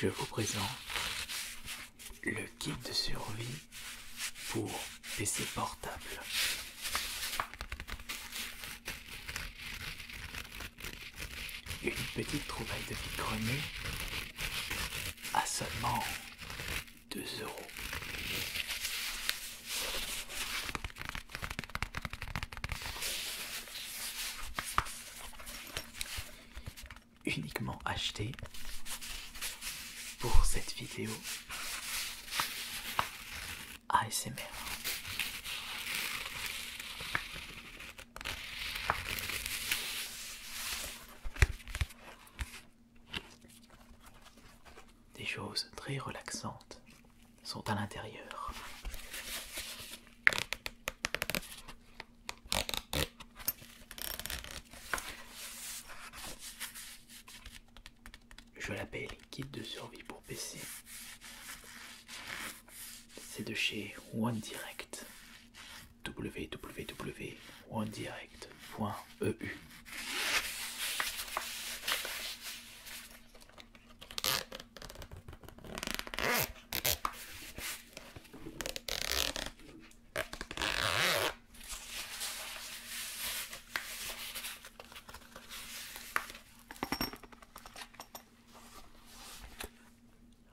Je vous présente le kit de survie pour PC portable. Une petite trouvaille de vide à seulement 2 euros. Uniquement acheté pour cette vidéo des choses très relaxantes sont à l'intérieur. Je l'appelle kit de survie pour PC. C'est de chez OneDirect. www.onedirect.eu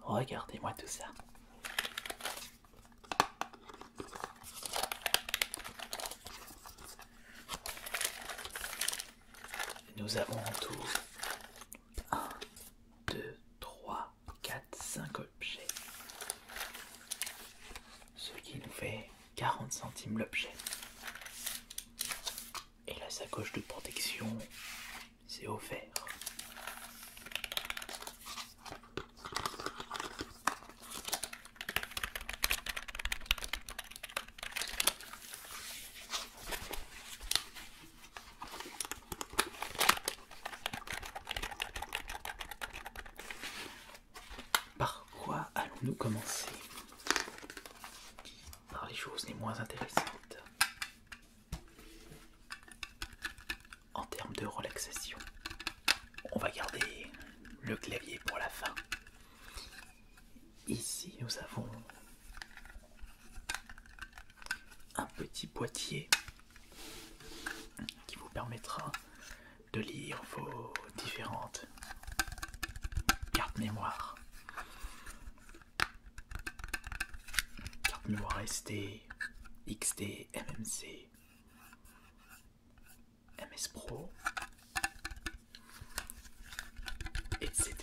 Regardez-moi tout ça. Nous avons en tout 1, 2, 3, 4, 5 objets. Ce qui nous fait 40 centimes l'objet. Et la sacoche de protection, c'est offert. Par quoi allons-nous commencer Par les choses les moins intéressantes. En termes de relaxation, on va garder le clavier pour la fin. Ici, nous avons un petit boîtier qui vous permettra de lire vos différentes cartes mémoire. cartes mémoire SD, XT, MMC, MS Pro, etc.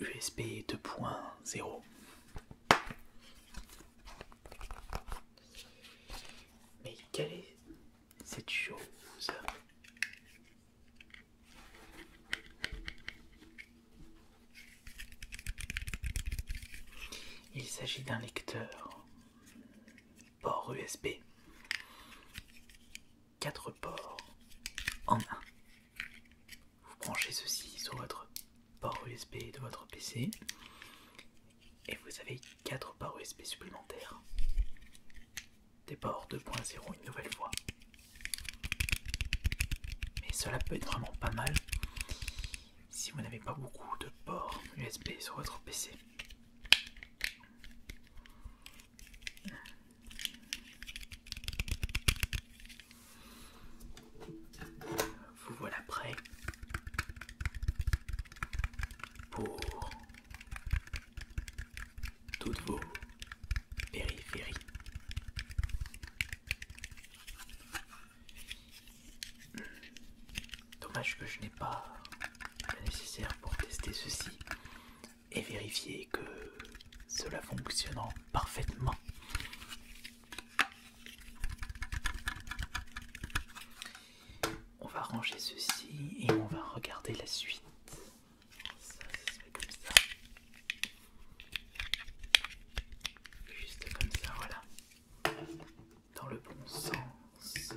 USB 2.0 Mais quelle est cette chose il s'agit d'un lecteur port USB. 4 ports en un. Vous branchez ceci sur votre port USB de votre PC et vous avez 4 ports USB supplémentaires des ports 2.0 une nouvelle fois. Mais cela peut être vraiment pas mal si vous n'avez pas beaucoup de ports USB sur votre PC. Vous voilà prêt pour toutes vos périphéries. Hmm. Dommage que je n'ai pas le nécessaire pour tester ceci et vérifier que cela fonctionne parfaitement. On va ranger ceci et on va regarder la suite. Ça, ça se fait comme ça. Juste comme ça, voilà. Dans le bon sens.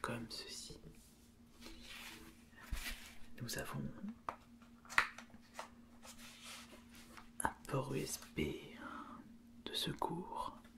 Comme ceci. Nous avons un port USB de secours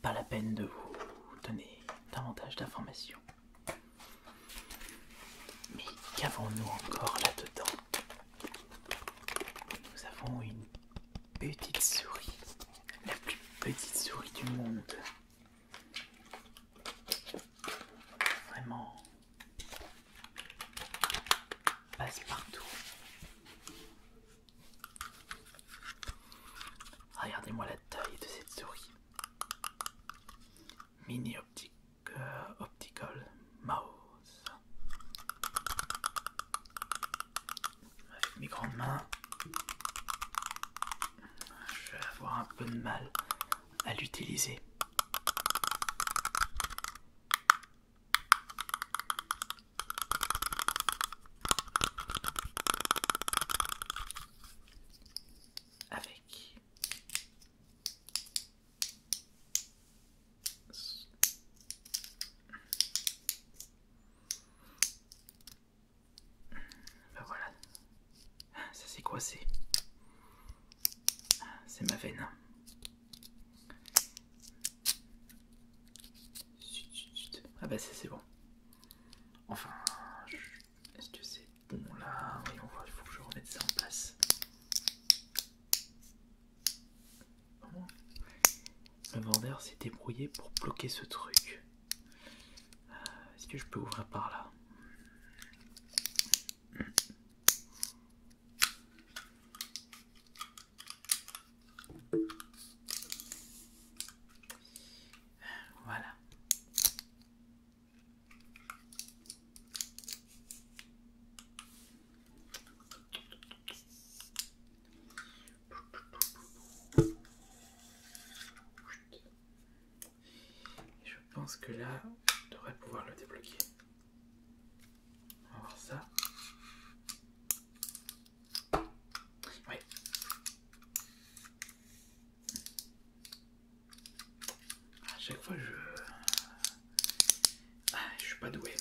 Pas la peine de vous donner davantage d'informations. Mais qu'avons-nous encore là-dedans Nous avons une petite souris, la plus petite souris du monde. Vraiment passe partout. Regardez-moi la taille de cette souris. Mini optique, euh, optical mouse. Avec mes grandes mains, je vais avoir un peu de mal à l'utiliser avec ben voilà ça s'est quoi ah, c'est ma veine ah bah c'est bon. Enfin, est-ce que c'est bon là Voyons voir, il faut que je remette ça en place. Le vendeur s'est débrouillé pour bloquer ce truc. Euh, est-ce que je peux ouvrir par là voilà. je pense que là, je devrais pouvoir le débloquer. On voir ça. Oui. À chaque fois, je. Ah, je suis pas doué.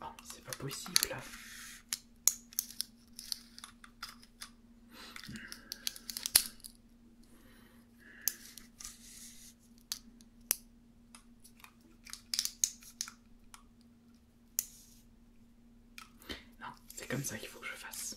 Oh, c'est pas possible Non, c'est comme ça qu'il faut que je fasse.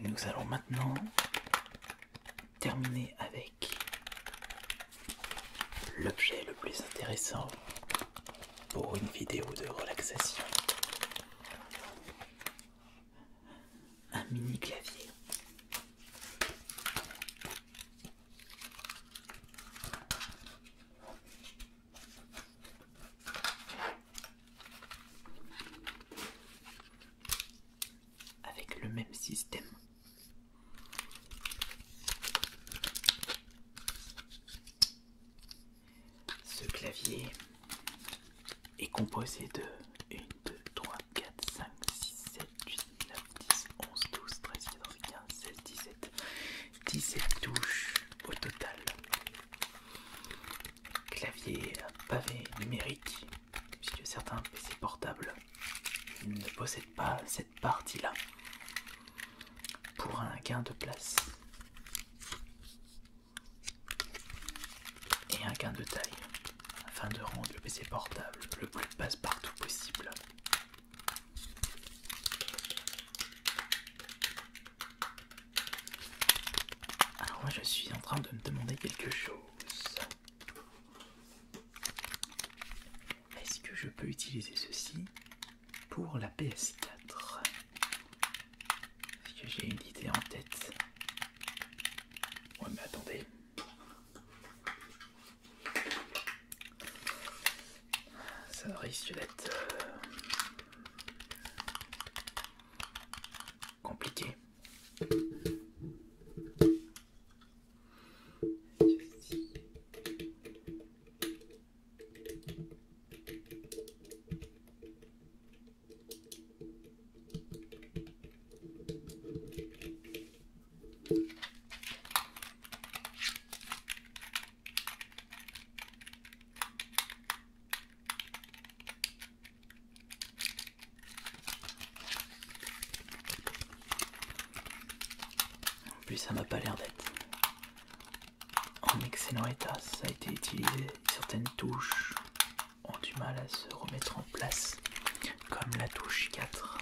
Nous allons maintenant terminer avec l'objet le plus intéressant pour une vidéo de relaxation. Un mini clavier. Avec le même système. Ce clavier est composé de 1, 2, 3, 4, 5, 6, 7, 8, 9, 10, 11, 12, 13, 14, 15, 16, 17. 17 touches au total. Clavier pavé numérique, puisque certains PC portables ne possèdent pas cette partie-là. Pour un gain de place. Et un gain de taille, afin de rendre le PC portable le plus passe-partout possible. Alors moi je suis en train de me demander quelque chose. Est-ce que je peux utiliser ceci pour la PS4 Est-ce que j'ai une idée en tête Ouais mais attendez. Ça risque d'être euh, compliqué. En plus, ça m'a pas l'air d'être en excellent état. Ça a été utilisé. Certaines touches ont du mal à se remettre en place, comme la touche 4.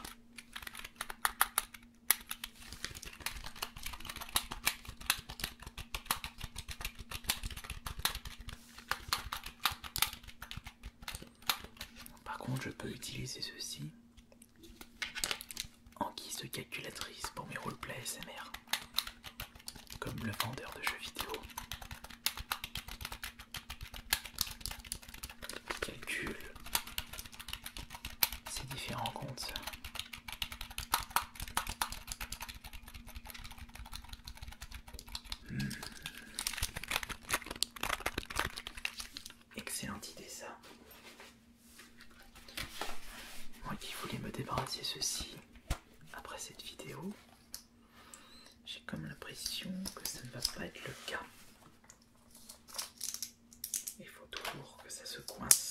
Par contre, je peux utiliser ceci en guise de calculatrice pour mes roleplays SMR, comme le vendeur de jeux vidéo. Calcul. ces différents comptes. Hmm. Excellente idée ça. Moi qui voulais me débarrasser ceci après cette vidéo, j'ai comme l'impression que ça ne va pas être le cas. Il faut toujours que ça se coince.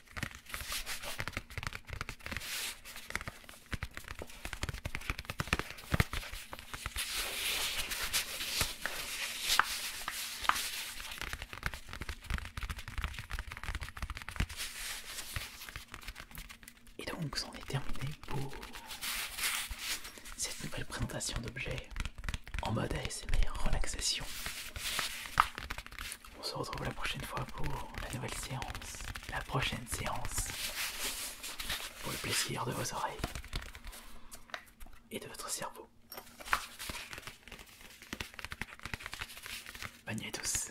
Et donc, c'en est terminé pour cette nouvelle présentation d'objets en mode ASMR relaxation. On se retrouve la prochaine fois pour la nouvelle séance. La prochaine séance. Pour le plaisir de vos oreilles. Et de votre cerveau. Bonne nuit à tous.